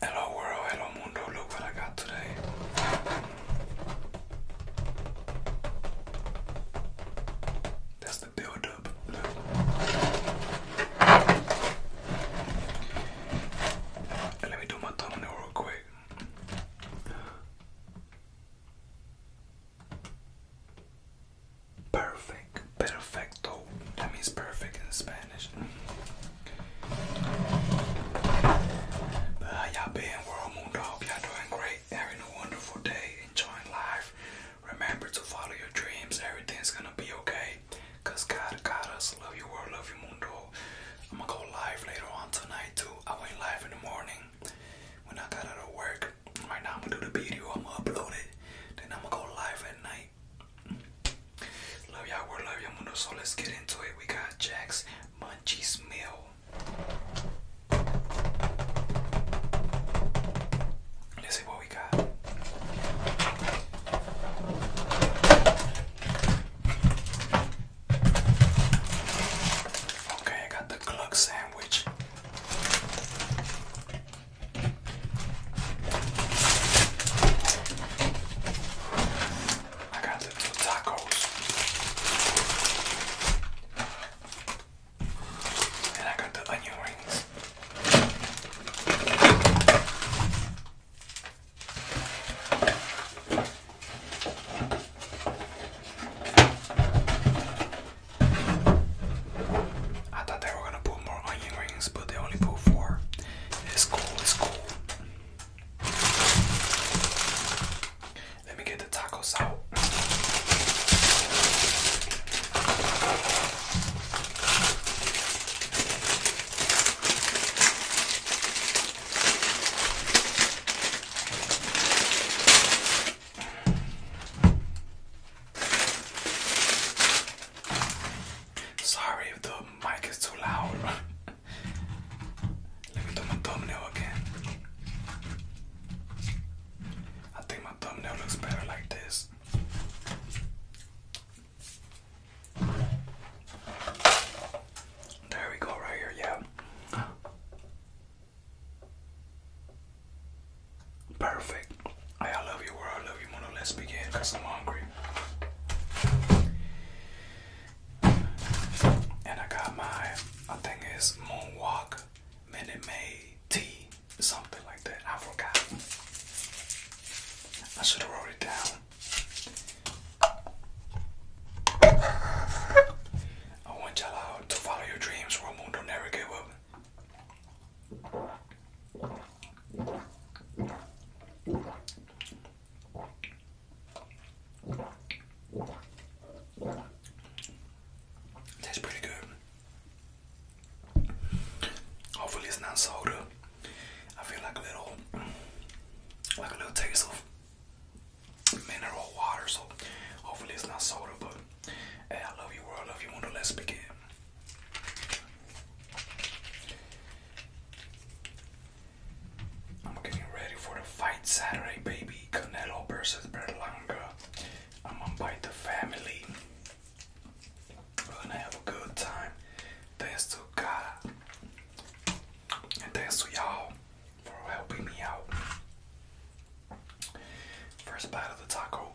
Hello world, hello mundo, look what I got today. That's the build up. let me do my thumbnail real quick. Perfect. Perfecto. That means perfect in Spanish. how y'all been, World Moon Y'all doing great. Having a wonderful day. Enjoying life. Remember to follow your dreams. Everything's gonna be okay. God got us. Love you, world. Love you, mundo. I'm gonna go live later on tonight too. I went live in the morning when I got out of work. Right now I'm gonna do the video. I'm gonna upload it. Then I'm gonna go live at night. Love y'all, love you mundo. So let's get into it. We got Jack's Munchies meal. Let's see what we got. Okay, I got the cluck sandwich. I got the little tacos. And I got the onion rings. I thought they were gonna put more onion but they only pull four. It's cool, it's cool. Let me get the tacos out. Sorry if the mic is too loud. Let me do my thumbnail again. I think my thumbnail looks better like this. There we go, right here, yeah. Perfect. I love you, world. I love you, Mono. Let's begin because I'm hungry. And I got my, I think it's Moonwalk Minute Maid tea, something like that. I forgot. I should have it down. I want y'all out to follow your dreams. World Mundo never give up. Tastes pretty good. Hopefully it's not soda. I feel like a little like a little taste of mineral water, so hopefully it's not soda, but hey, I love you world, I love you let's begin. I'm getting ready for the fight Saturday, baby. Canelo versus Berlanga. I'm gonna bite the family. gonna have a good time. Thanks to God. And thanks to y'all for helping me out. First bite of the taco.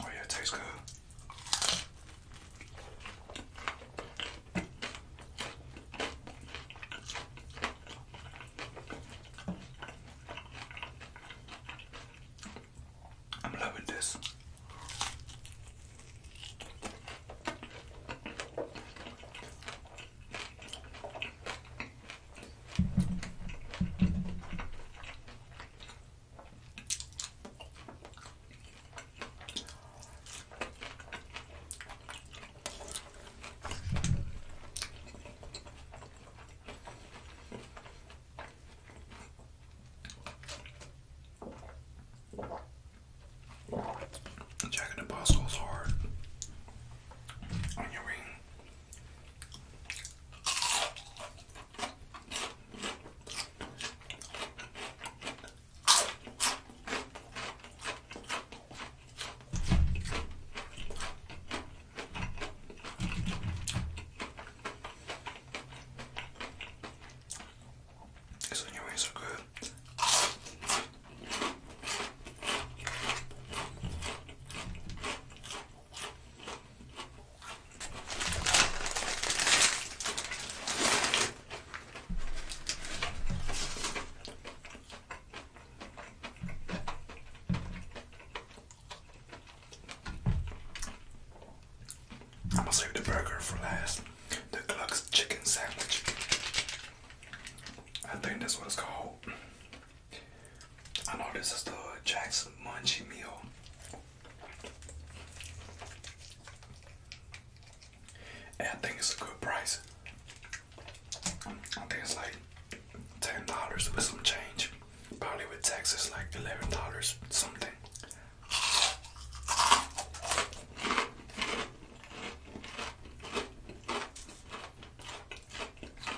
Oh yeah, it tastes good. I'm loving this. Jack and the Boss hard on your ring. These onion rings are good. I'm gonna save the burger for last. The Gluck's chicken sandwich. I think that's what it's called. I know this is the Jackson Munchy meal. And I think it's a good price. I think it's like ten dollars with some change. Probably with taxes like eleven dollars something.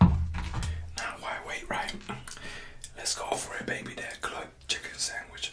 Now, why wait, right? Let's go for a baby there club chicken sandwich.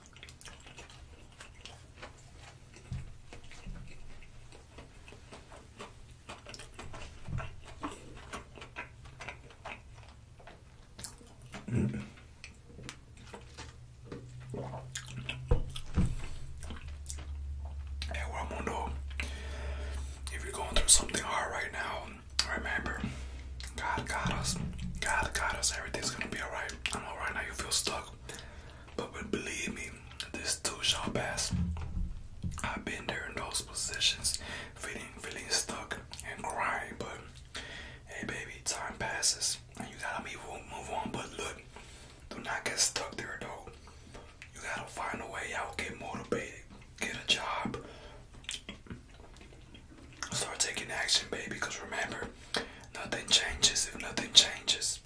Hey, well, mundo. If you're going through something hard right now, remember God got us. God got us. Everything's gonna be alright. I am alright now you feel stuck, but believe me, this too shall pass. I've been there in those positions, feeling feeling stuck and crying, but hey baby, time passes and you gotta be move on, move on. But look, do not get stuck there though. You gotta find a way out, get motivated, get a job, Start taking action, baby, because remember, nothing changes if nothing changes.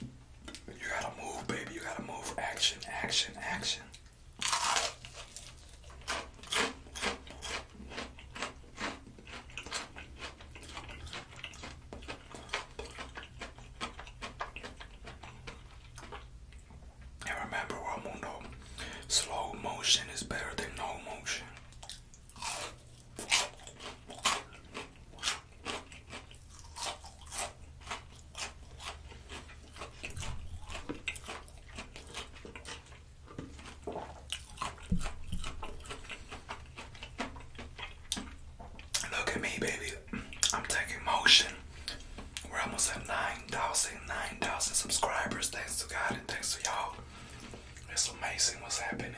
You gotta move, baby. You gotta move. Action, action, action. And remember, World Mundo, Slow motion is better than no motion. Look at me, baby. I'm taking motion. we almost at 9,000, subscribers. Thanks to God and thanks to y'all. It's amazing what's happening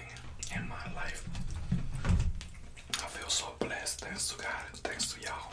in my life. I feel so blessed. Thanks to God. Thanks to y'all.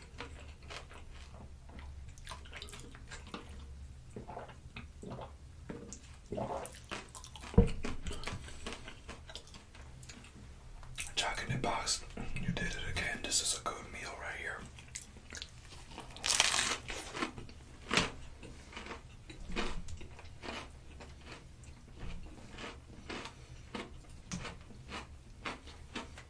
Jack box, you did it again. This is a good meal right here.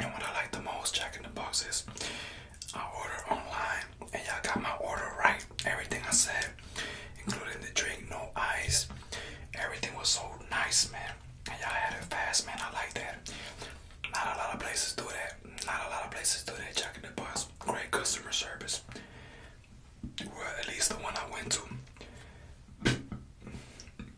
And what I like the most checking the box is I ordered online and y'all got my order right. Everything I said, including the drink, no ice. Everything was so nice, man. And y'all had it fast, man. I like that. Not a lot of places do that. Not a lot of places do that. Checking the box. Great customer service. at least the one I went to.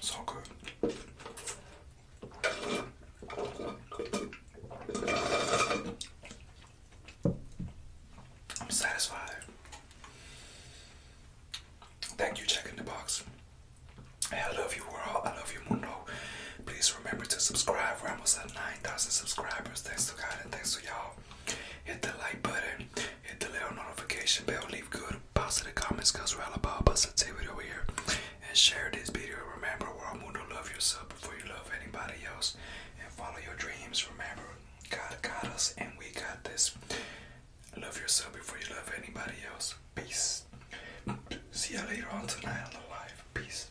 So good. I'm satisfied. Thank you, for checking the Box. I love you, world. I love you, Mundo. Please remember to subscribe. We're almost at 9,000 subscribers. Thanks to God and thanks to y'all. Hit the like button, hit the little notification bell, leave good positive comments because we're all about positivity over here. And share this video. Remember, we're all going to love yourself before you love anybody else. And follow your dreams. Remember, God got us and we got this. Love yourself before you love anybody else. Peace. See you later on tonight on the live. Peace.